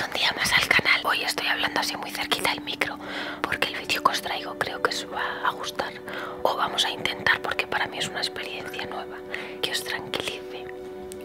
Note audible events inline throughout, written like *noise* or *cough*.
Un día más al canal. Hoy estoy hablando así muy cerquita del micro porque el vídeo que os traigo creo que os va a gustar o vamos a intentar porque para mí es una experiencia nueva que os tranquilice.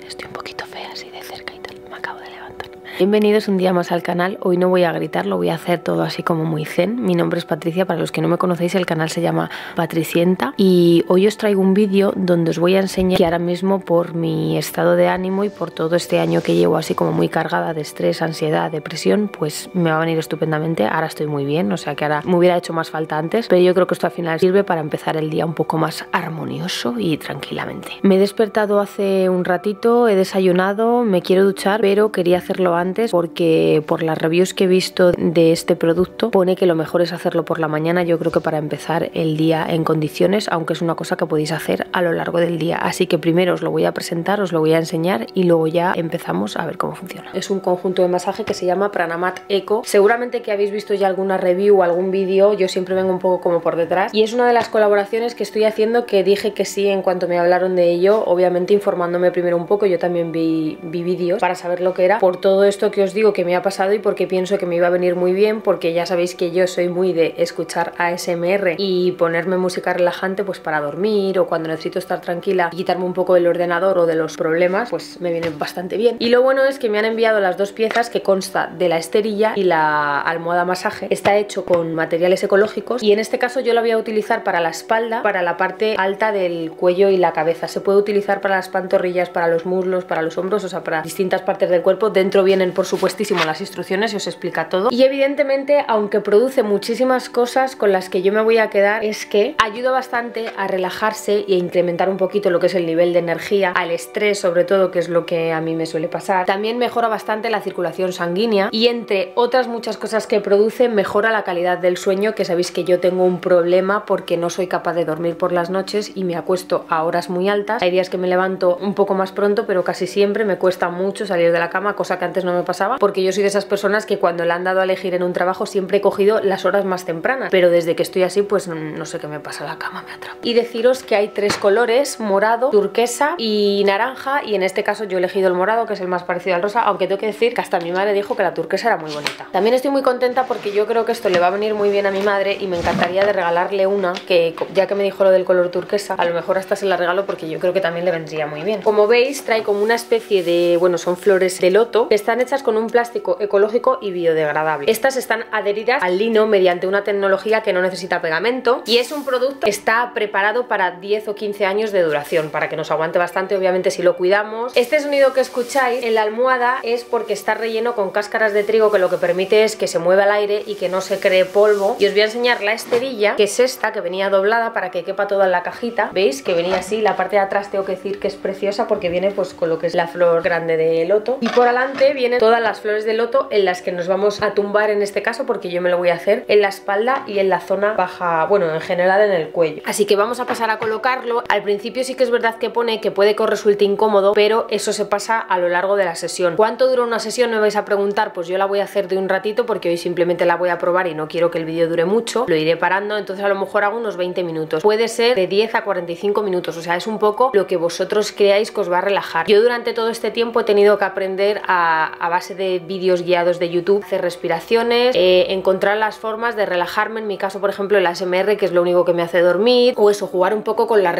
Estoy un poquito fea así de cerca y tal. Me acabo de levantar. Bienvenidos un día más al canal. Hoy no voy a gritar, lo voy a hacer todo así como muy zen. Mi nombre es Patricia, para los que no me conocéis el canal se llama Patricienta y hoy os traigo un vídeo donde os voy a enseñar que ahora mismo por mi estado de ánimo y por todo este año que llevo así como muy cargada de estrés, ansiedad, depresión, pues me va a venir estupendamente. Ahora estoy muy bien, o sea que ahora me hubiera hecho más falta antes, pero yo creo que esto al final sirve para empezar el día un poco más armonioso y tranquilamente. Me he despertado hace un ratito, he desayunado, me quiero duchar, pero quería hacerlo antes porque por las reviews que he visto de este producto pone que lo mejor es hacerlo por la mañana, yo creo que para empezar el día en condiciones aunque es una cosa que podéis hacer a lo largo del día. Así que primero os lo voy a presentar, os lo voy a enseñar y luego ya empezamos a ver cómo funciona. Es un conjunto de masaje que se llama Pranamat Eco. Seguramente que habéis visto ya alguna review o algún vídeo, yo siempre vengo un poco como por detrás. Y es una de las colaboraciones que estoy haciendo que dije que sí en cuanto me hablaron de ello, obviamente informándome primero un poco, yo también vi, vi vídeos para saber lo que era, por todo esto que os digo que me ha pasado y porque pienso que me iba a venir muy bien, porque ya sabéis que yo soy muy de escuchar ASMR y ponerme música relajante pues para dormir o cuando necesito estar tranquila quitarme un poco del ordenador o de los problemas, pues me viene bastante bien. Y lo bueno es que me han enviado las dos piezas que consta de la esterilla y la almohada masaje. Está hecho con materiales ecológicos y en este caso yo la voy a utilizar para la espalda, para la parte alta del cuello y la cabeza. Se puede utilizar para las pantorrillas, para los muslos, para los hombros, o sea, para distintas partes del cuerpo. Dentro vienen, por supuestísimo, las instrucciones y os explica todo. Y evidentemente, aunque produce muchísimas cosas con las que yo me voy a quedar, es que ayuda bastante a relajarse y a incrementar un poquito lo que es el nivel de energía, al estrés sobre todo, que es lo que a mí me suele pasar. También mejora bastante la circulación sanguínea y entre otras muchas cosas que produce, mejora la calidad del sueño, que sabéis que yo tengo un problema porque no soy capaz de dormir por las noches y me acuesto a horas muy altas. Hay días que me levanto un poco más pronto, pero casi siempre me cuesta mucho salir de la cama, cosa que antes no me pasaba, porque yo soy de esas personas que cuando le han dado a elegir en un trabajo siempre he cogido las horas más tempranas, pero desde que estoy así pues no, sé qué me pasa, la cama me atrapa. Y deciros que hay tres colores, morado, turquesa y naranja, y en este caso yo he elegido el morado, que es el más parecido al rosa, aunque tengo que decir que hasta mi madre dijo que la turquesa era muy bonita. También estoy muy contenta porque yo creo que esto le va a venir muy bien a mi madre y me encantaría de regalarle una que ya que me dijo lo del color turquesa, a lo mejor hasta se la regalo porque yo creo que también le vendría muy bien. Como veis, trae como una especie de, bueno, son flores de loto, están hechas con un plástico ecológico y biodegradable. Estas están adheridas al lino mediante una tecnología que no necesita pegamento y es un producto que está preparado para 10 o 15 años de duración, para que nos aguante bastante, obviamente, si lo cuidamos. Este sonido que escucháis en la almohada es porque está relleno con caras de trigo que lo que permite es que se mueva el aire y que no se cree polvo. Y os voy a enseñar la esterilla, que es esta, que venía doblada para que quepa toda la cajita. ¿Veis? Que venía así. La parte de atrás tengo que decir que es preciosa porque viene pues con lo que es la flor grande de loto. Y por adelante vienen todas las flores de loto en las que nos vamos a tumbar en este caso porque yo me lo voy a hacer en la espalda y en la zona baja, bueno, en general en el cuello. Así que vamos a pasar a colocarlo. Al principio sí que es verdad que pone que puede que resulte incómodo, pero eso se pasa a lo largo de la sesión. ¿Cuánto dura una sesión? Me vais a preguntar, pues yo la voy a hacer de un ratito porque hoy simplemente la voy a probar y no quiero que el vídeo dure mucho, lo iré parando, entonces a lo mejor hago unos 20 minutos. Puede ser de 10 a 45 minutos, o sea, es un poco lo que vosotros creáis que os va a relajar. Yo durante todo este tiempo he tenido que aprender a, base de vídeos guiados de YouTube, hacer respiraciones, eh, encontrar las formas de relajarme, en mi caso por ejemplo el ASMR que es lo único que me hace dormir, o eso, jugar un poco con las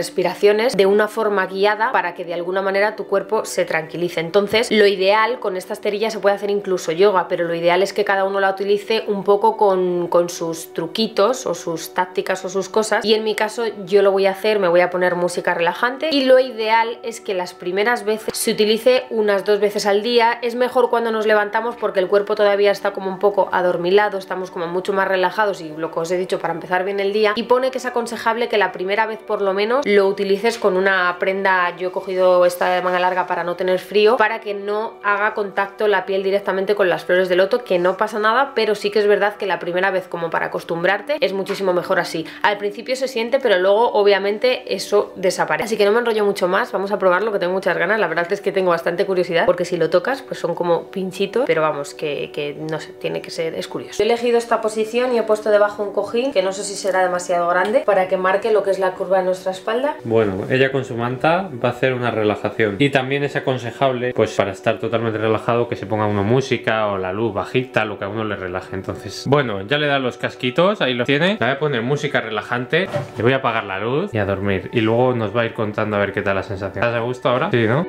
de una forma guiada para que de alguna manera tu cuerpo se tranquilice. Entonces, lo ideal con estas esterilla se puede hacer incluso yoga, pero lo ideal es que cada uno la utilice un poco con, con sus truquitos o sus tácticas o sus cosas. Y en mi caso, yo lo voy a hacer, me voy a poner música relajante. Y lo ideal es que las primeras veces se utilice unas dos veces al día. Es mejor cuando nos levantamos porque el cuerpo todavía está como un poco adormilado, estamos como mucho más relajados y lo que os he dicho para empezar bien el día y pone que es aconsejable que la primera vez por lo menos lo utilices con una prenda, yo he cogido esta de manga larga para no tener frío, para que no haga contacto la piel directamente con las flores de loto, que no pasa nada, pero sí que es verdad que la primera vez como para acostumbrarte es muchísimo mejor así. Al principio se siente, pero luego obviamente eso desaparece. Así que no me enrollo mucho más, vamos a probarlo que tengo muchas ganas, la verdad es que tengo bastante curiosidad porque si lo tocas pues son como pinchitos, pero vamos, que, que no sé tiene que ser, es curioso. he elegido esta posición y he puesto debajo un cojín, que no sé si será demasiado grande, para que marque lo que es la curva de nuestra espalda. Bueno, ella con su manta va a hacer una relajación. Y también es aconsejable, pues para estar totalmente relajado, que se ponga uno música o la luz bajita, lo que a uno le relaje. Entonces, bueno, ya le da los casquitos, ahí los tiene. Le voy a poner música relajante, le voy a apagar la luz y a dormir. Y luego nos va a ir contando a ver qué tal la sensación te ¿Estás a gusto ahora? Sí, ¿no?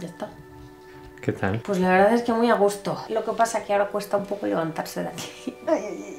Ya está. ¿Qué tal? Pues la verdad es que muy a gusto. Lo que pasa es que ahora cuesta un poco levantarse de aquí. *laughs*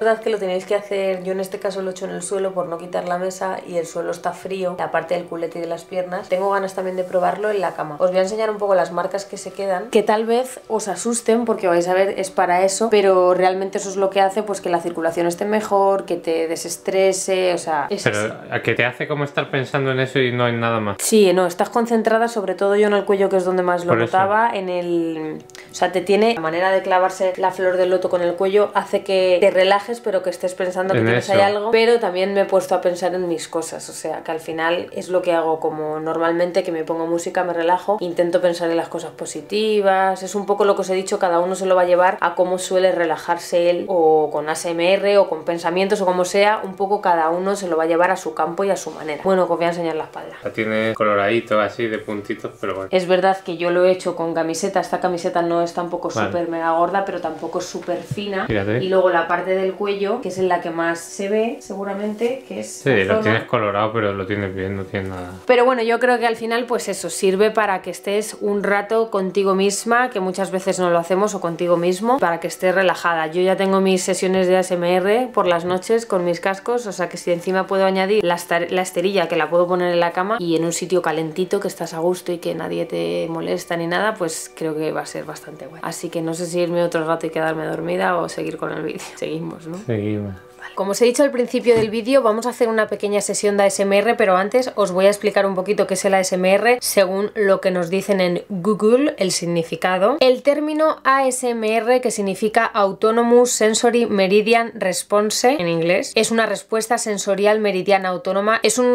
La verdad es que lo tenéis que hacer, yo en este caso lo he hecho en el suelo por no quitar la mesa y el suelo está frío, la parte del culete y de la piernas. Tengo ganas también de probarlo en la cama. Os voy a enseñar un poco las marcas que se quedan, que tal vez os asusten porque vais a ver es para eso, pero realmente eso es lo que hace pues que la circulación esté mejor, que te desestrese, o sea... que te hace como estar pensando en eso y no en nada más. si no, estás concentrada sobre todo yo en el cuello que es donde más lo notaba, en el... O sea, te tiene la manera de clavarse la flor del loto con el cuello, hace que te relajes pero que estés pensando que hay algo, pero también me he puesto a pensar en mis cosas, o sea, que al final es lo que hago como normalmente, que me pongo música, me relajo, intento pensar en las cosas positivas, es un poco lo que os he dicho, cada uno se lo va a llevar a cómo suele relajarse él, o con ASMR, o con pensamientos, o como sea, un poco cada uno se lo va a llevar a su campo y a su manera. Bueno, os voy a enseñar la espalda. La tiene coloradito así, de puntitos, pero bueno. Es verdad que yo lo he hecho con camiseta, esta camiseta no es tampoco súper mega gorda, pero tampoco es súper fina. Y luego la parte del cuello, que es en la que más se ve, seguramente, que es... lo tienes colorado, pero lo tienes bien, no nada. Pero bueno, yo creo que al final, pues eso, sirve para que estés un rato contigo misma, que muchas veces no lo hacemos, o contigo mismo, para que estés relajada. Yo ya tengo mis sesiones de ASMR por las noches con mis cascos, o sea que si encima puedo añadir la, la esterilla, que la puedo poner en la cama, y en un sitio calentito, que estás a gusto y que nadie te molesta ni nada, pues pues creo que va a ser bastante bueno. Así que no sé si irme otro rato y quedarme dormida o seguir con el vídeo. Seguimos, ¿no? Seguimos. Como os he dicho al principio del vídeo, vamos a hacer una pequeña sesión de ASMR, pero antes os voy a explicar un poquito qué es el ASMR según lo que nos dicen en Google, el significado. El término ASMR, que significa Autonomous Sensory Meridian Response en inglés, es una respuesta sensorial meridiana autónoma, es un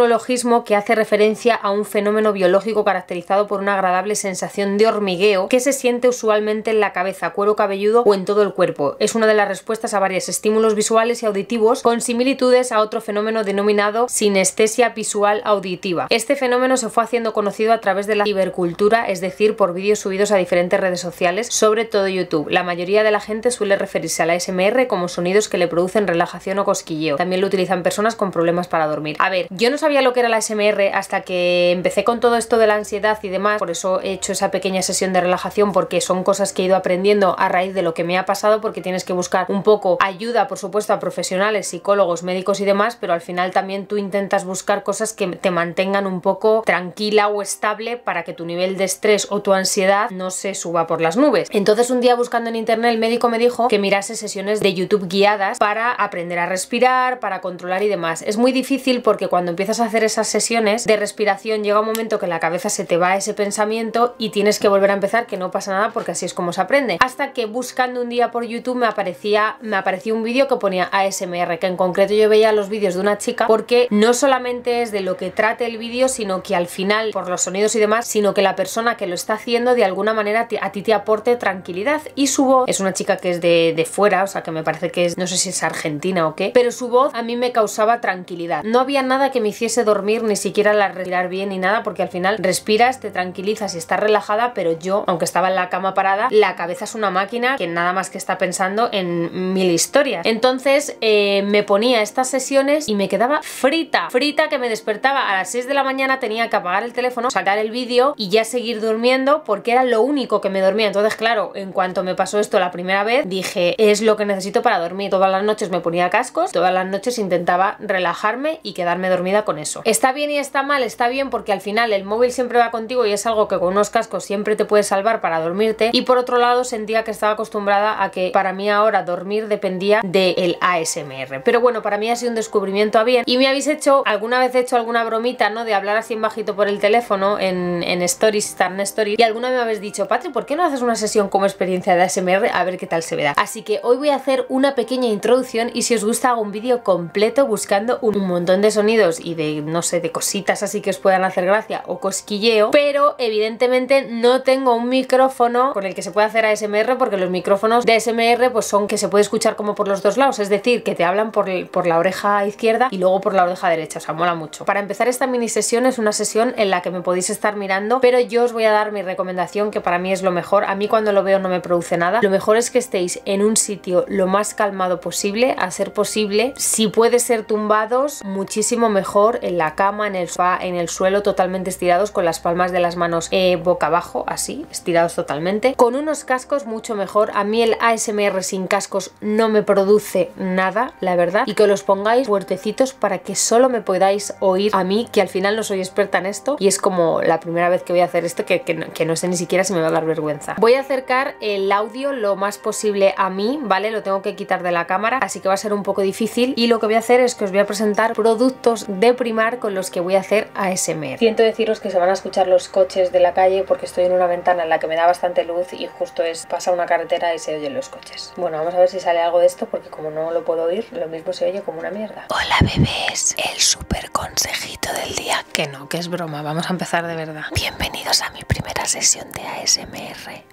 que hace referencia a un fenómeno biológico caracterizado por una agradable sensación de hormigueo que se siente usualmente en la cabeza, cuero cabelludo o en todo el cuerpo. Es una de las respuestas a varios estímulos visuales y auditivos con similitudes a otro fenómeno denominado sinestesia visual auditiva. Este fenómeno se fue haciendo conocido a través de la hibercultura, es decir, por vídeos subidos a diferentes redes sociales, sobre todo YouTube. La mayoría de la gente suele referirse a la SMR como sonidos que le producen relajación o cosquilleo. También lo utilizan personas con problemas para dormir. A ver yo no sabía lo que era la SMR hasta que empecé con todo esto de la ansiedad y demás, por eso he hecho esa pequeña sesión de relajación porque son cosas que he ido aprendiendo a raíz de lo que me ha pasado porque tienes que buscar un poco ayuda, por supuesto, a profesionales, psicólogos, médicos y demás, pero al final también tú intentas buscar cosas que te mantengan un poco tranquila o estable para que tu nivel de estrés o tu ansiedad no se suba por las nubes. Entonces un día buscando en internet el médico me dijo que mira sesiones de YouTube guiadas para aprender a respirar, para controlar y demás. Es muy difícil porque cuando empiezas a hacer esas sesiones de respiración llega un momento que la cabeza se te va ese pensamiento y tienes que volver a empezar, que no pasa nada porque así es como se aprende. Hasta que buscando un día por YouTube me aparecía, me apareció un vídeo que ponía ASMR, que en concreto yo veía los vídeos de una chica porque no solamente es de lo que trate el vídeo, sino que al final, por los sonidos y demás, sino que la persona que lo está haciendo de alguna manera a ti te aporte tranquilidad. Y su voz es una chica que es de, fuera, o sea que me parece que es, no sé si es argentina o qué, pero su voz a mí me causaba tranquilidad. No había nada que me hiciese dormir, ni siquiera la respirar bien ni nada, porque al final respiras, te tranquilizas y está relajada, pero yo, aunque estaba en la cama parada, la cabeza es una máquina que nada más que está pensando en mil historias. Entonces eh, me ponía estas sesiones y me quedaba frío frita, que me despertaba a las 6 de la mañana, tenía que apagar el teléfono, sacar el vídeo y ya seguir durmiendo porque era lo único que me dormía. Entonces, claro, en cuanto me pasó esto la primera vez, dije, es lo que necesito para dormir. Todas las noches me ponía cascos, todas las noches intentaba relajarme y quedarme dormida con eso. Está bien y está mal, está bien porque al final el móvil siempre va contigo y es algo que con unos cascos siempre te puede salvar para dormirte. Y por otro lado, sentía que estaba acostumbrada a que para mí ahora dormir dependía del ASM. ASMR pero bueno, para mí ha sido un descubrimiento a bien. Y me habéis hecho, alguna vez hecho alguna bromita, ¿no? De hablar así en bajito por el teléfono, en, Stories, en Stories. Y alguna me habéis dicho, Patri, ¿por qué no haces una sesión como experiencia de ASMR? A ver qué tal se vea. Así que hoy voy a hacer una pequeña introducción y si os gusta hago un vídeo completo buscando un montón de sonidos y de, no sé, de cositas así que os puedan hacer gracia o cosquilleo. Pero evidentemente no tengo un micrófono con el que se puede hacer a SMR, porque los micrófonos de SMR, pues son que se puede escuchar como por los dos lados, es decir, que te hablan por, por la oreja izquierda y luego por la oreja derecha, o sea, mola mucho. Para empezar esta mini sesión es una sesión en la que me podéis estar mirando, pero yo os voy a dar mi recomendación que para mí es lo mejor, a mí cuando lo veo no me produce nada, lo mejor es que estéis en un sitio lo más calmado posible, a ser posible, si puedes ser tumbados, muchísimo mejor en la cama, en el sofá, en el suelo, totalmente estirados con las palmas de las manos eh, boca abajo, así estirados totalmente, con unos cascos mucho mejor. A mí el ASMR sin cascos no me produce nada, la verdad, y que los pongáis fuertecitos para que solo me podáis oír a mí, que al final no soy experta en esto, y es como la primera vez que voy a hacer esto, que, no, que no sé ni siquiera si me va a dar vergüenza. Voy a acercar el audio lo más posible a mí, ¿vale? Lo tengo que quitar de la cámara, así que va a ser un poco difícil, y lo que voy a hacer es que os voy a presentar productos de primar con los que voy a hacer ASMR. Siento deciros que se van a escuchar los coches de la calle porque estoy en una ventana en la que me da bastante luz y justo es pasa una carretera y se oyen los coches. Bueno, vamos a ver si sale algo de esto porque como no lo puedo oír, lo mismo se oye como una mierda. Hola bebés, el super consejito del día. Que no, que es broma, vamos a empezar de verdad. Bienvenidos a mi primera sesión de ASMR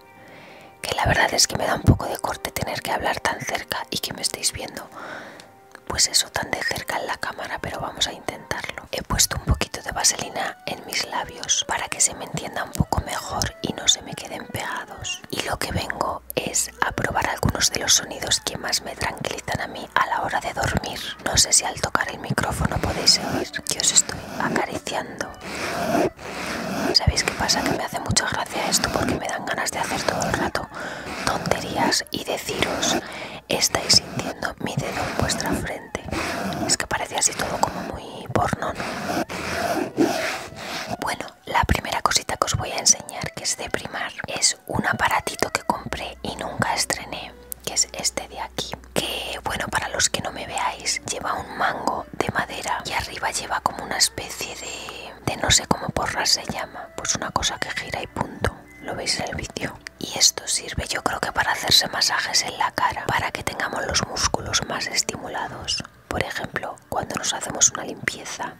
que la verdad es que me da un poco de corte tener que hablar tan cerca y que me estáis viendo pues eso tan de cerca en la cámara, pero vamos a intentarlo. He puesto un poquito de vaselina en mis labios para que se me entienda un poco mejor y no se me queden pegados. Y lo que vengo es a probar algunos de los sonidos que más me tranquilizan a mí a la hora de dormir. No sé si al tocar el micrófono podéis oír que os estoy acariciando. ¿Sabéis qué pasa? Que me hace mucha gracia esto porque me dan ganas de hacer todo el rato tonterías y deciros estáis sintiendo mi dedo en vuestra frente. Es que parece así todo como muy porno, Bueno, la primera cosita que os voy a enseñar que es de primar es un aparatito que compré y nunca estrené, que es este de aquí. Que bueno, para los que no me veáis, lleva un mango de madera y arriba lleva como una especie de, de no sé cómo porra se llama pues una cosa que gira y punto. Lo veis en el vídeo. Y esto sirve yo creo que para hacerse masajes en la cara, para que tengamos los músculos más estimulados. Por ejemplo, cuando nos hacemos una limpieza.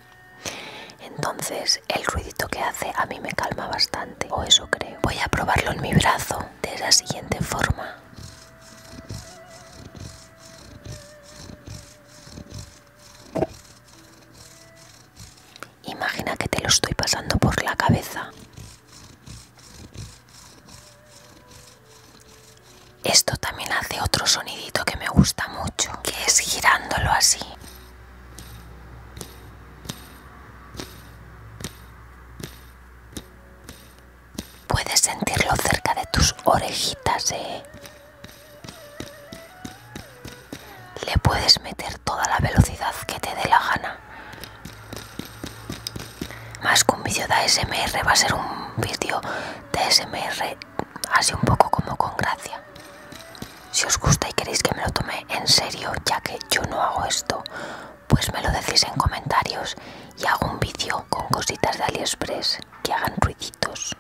Entonces el ruidito que hace a mí me calma bastante, o eso creo. Voy a probarlo en mi brazo de la siguiente forma. Imagina que te lo estoy pasando por la cabeza. Esto también hace otro sonidito que me gusta mucho, que es girándolo así. Puedes sentirlo cerca de tus orejitas, ¿eh? Le puedes meter toda la velocidad que te dé la gana. Más que un vídeo de ASMR va a ser un vídeo de ASMR así un poco como con gracia. Si os gusta y queréis que me lo tome en serio, ya que yo no hago esto, pues me lo decís en comentarios y hago un vídeo con cositas de AliExpress que hagan ruiditos.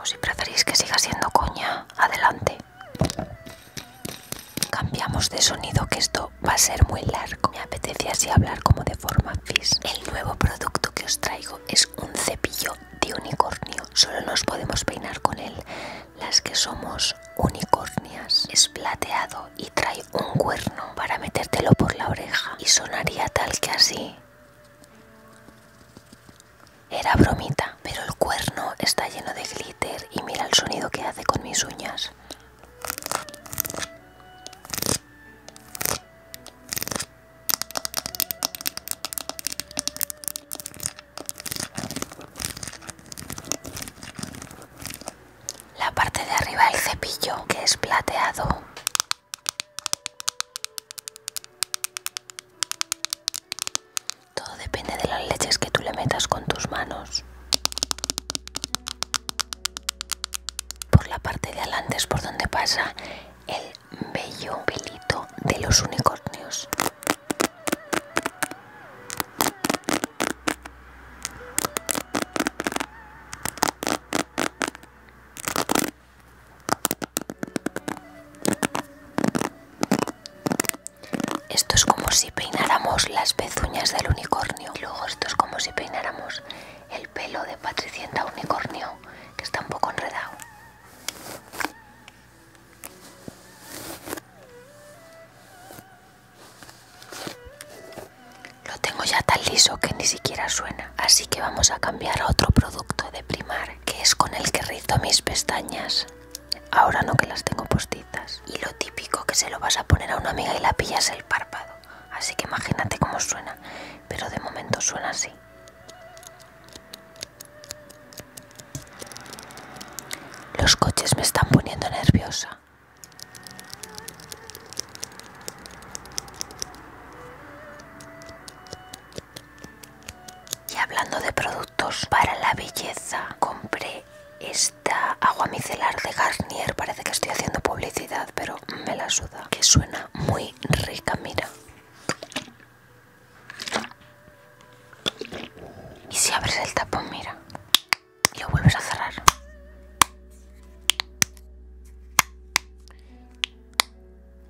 O si preferís que siga siendo coña, adelante. Cambiamos de sonido que esto va a ser muy largo. Me apetece así hablar como de forma física El nuevo producto que os traigo es un cepillo de unicornio. Solo nos podemos peinar con él las que somos unicornias. Es plateado y trae un cuerno para metértelo por la oreja. Y sonaría tal que así. Era bromita, pero el cuerno está lleno de glitter y mira el sonido que hace con mis uñas. La parte de arriba del cepillo, que es plateado, todo depende de las leches que tú le metas con tus manos. Por la parte de adelante es por donde pasa el bello pelito de los unicornios. Esto es como si peináramos las pezuñas del unicornio. Y luego esto es como si peináramos el pelo de Patricienta Unicornio, que está un poco enredado. Lo tengo ya tan liso que ni siquiera suena, así que vamos a cambiar a otro producto de primar que es con el que rizo mis pestañas. Ahora no que las tengo postitas Y lo típico que se lo vas a poner a una amiga y la pillas el párpado. Así que imagínate cómo suena. Pero de momento suena así. Los coches me están poniendo nerviosa. Y hablando de productos para la belleza, compré esta agua micelar de Garnier. Parece que estoy haciendo publicidad, pero me la suda. Que suena muy rica, mira. Y si abres el tapón, mira. Y lo vuelves a cerrar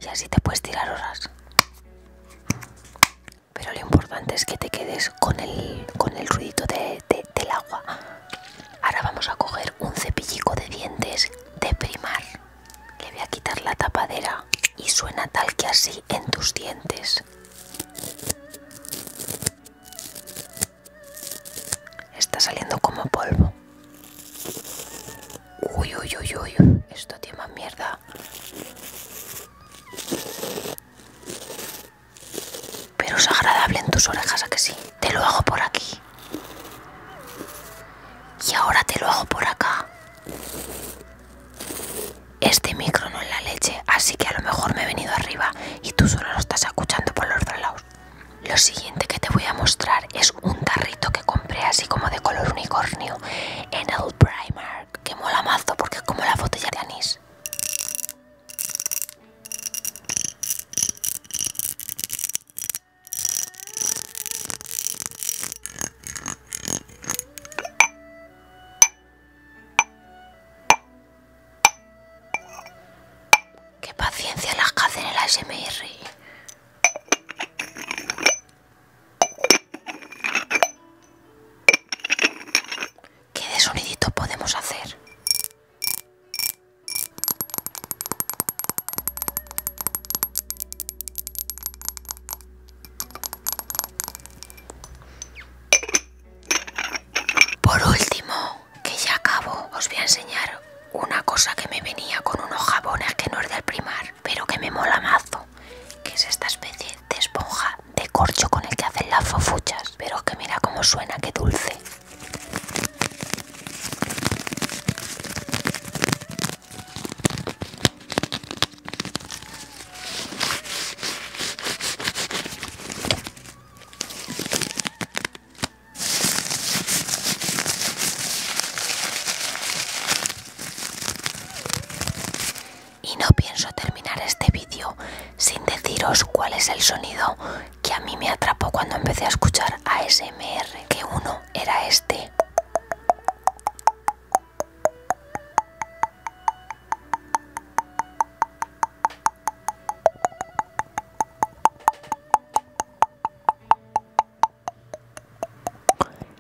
y así te puedes tirar horas. Pero lo importante es que te quedes con el, con ruidito del agua. Ahora vamos a coger un cepillico de dientes de primar. Le voy a quitar la tapadera y suena tal que así en tus dientes. Está saliendo como polvo. Uy, uy, uy, uy. Esto tiene más mierda. Pero es agradable en tus orejas, ¿a que sí? Te lo hago por aquí. Y ahora te lo hago por acá. Este micro no es la leche, así que a lo mejor me he venido arriba y tú solo lo estás escuchando por los dos lados. Lo siguiente que te voy a mostrar es un tarrito que compré así como de color unicornio en el Primark, que mola mazo porque es como la botella de anís. Qué paciencia las que hacen el ASMR. ¿Qué de sonidito podemos hacer? Por último, que ya acabo, os voy a enseñar una cosa que me venía con unos jabones que no es del primar pero que me mola mazo, que es esta especie de esponja de corcho con el que hacen las fofuchas, pero que mira cómo suena, qué dulce. Y no pienso terminar este vídeo sin deciros cuál es el sonido que a mí me atrapó cuando empecé a escuchar ASMR, que uno era este.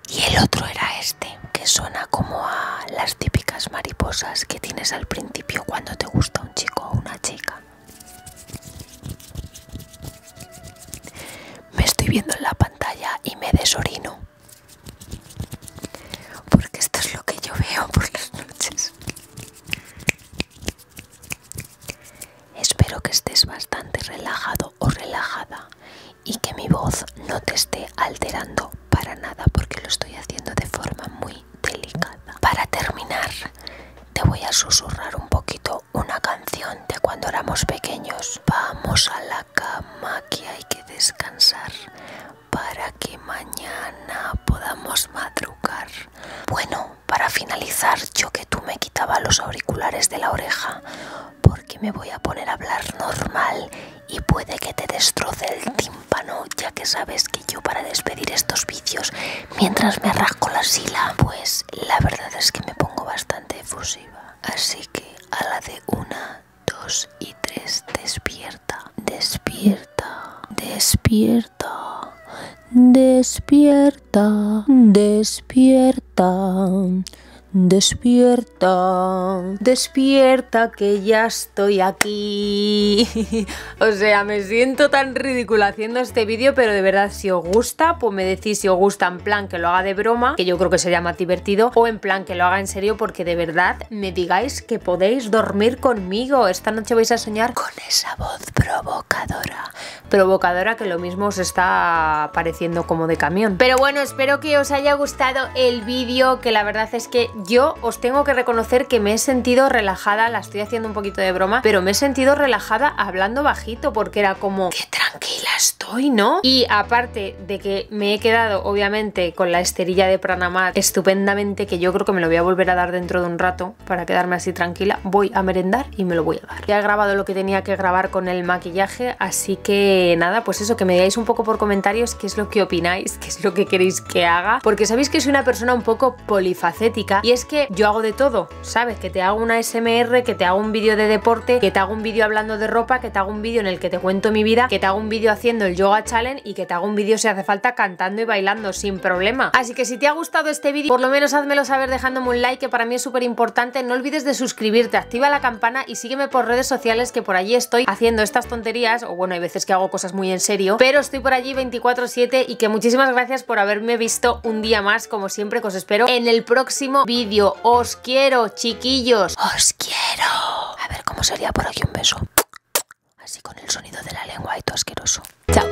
Y el otro era este, que suena como a las típicas mariposas que tienes al principio cuando te gusta un chico o una chica. Me estoy viendo en la pantalla y me desorino. Porque esto es lo que yo veo *laughs* por las noches. Espero que estés bastante relajado o relajada y que mi voz no te esté alterando para nada porque lo estoy haciendo de forma muy delicada. Para terminar, te voy a susurrar un poquito una canción de cuando éramos pequeños. Vamos a la cama que hay que descansar para que mañana podamos madrugar. Bueno, para finalizar, yo que tú me quitaba los auriculares de la oreja, porque me voy a poner a hablar normal y puede que te destroce el tímpano, ya que sabes que yo para despedir estos vicios, mientras me arrasco la sila, pues la verdad es que me pongo bastante efusiva. Así que a la de una, dos y tres, despierta, despierta, despierta. Despierta, despierta. Despierta, despierta que ya estoy aquí. *laughs* o sea, me siento tan ridícula haciendo este vídeo, pero de verdad si os gusta, pues me decís si os gusta en plan que lo haga de broma, que yo creo que sería más divertido, o en plan que lo haga en serio, porque de verdad me digáis que podéis dormir conmigo. Esta noche vais a soñar con esa voz provocadora. Provocadora que lo mismo os está apareciendo como de camión. Pero bueno, espero que os haya gustado el vídeo, que la verdad es que yo os tengo que reconocer que me he sentido relajada, la estoy haciendo un poquito de broma, pero me he sentido relajada hablando bajito porque era como, qué tranquila estoy, ¿no? Y aparte de que me he quedado obviamente con la esterilla de Pranamat estupendamente, que yo creo que me lo voy a volver a dar dentro de un rato para quedarme así tranquila, voy a merendar y me lo voy ya he grabado lo que tenía que grabar con el maquillaje, así que nada, pues eso, que me digáis un poco por comentarios qué es lo que opináis, qué es lo que queréis que haga, porque sabéis que soy una persona un poco polifacética y es que yo hago de todo, ¿sabes? Que te hago una SMR, que te hago un vídeo de deporte, que te hago un vídeo hablando de ropa, que te hago un vídeo en el que te cuento mi vida, que te hago un vídeo haciendo el yoga challenge y que te hago un vídeo si hace falta cantando y bailando sin problema. Así que si te ha gustado este vídeo, por lo menos házmelo saber dejándome un like que para mí es súper importante. No olvides de suscribirte suscribirte, activa la campana y sígueme por redes sociales que por allí estoy haciendo estas tonterías, o bueno, hay veces que hago cosas muy en serio, pero estoy por allí 24-7 y que muchísimas gracias por haberme visto un día más, como siempre que os espero en el próximo vídeo. Os quiero, chiquillos, os quiero. A ver cómo sería por aquí un beso. Así con el sonido de la lengua y todo asqueroso. Chao.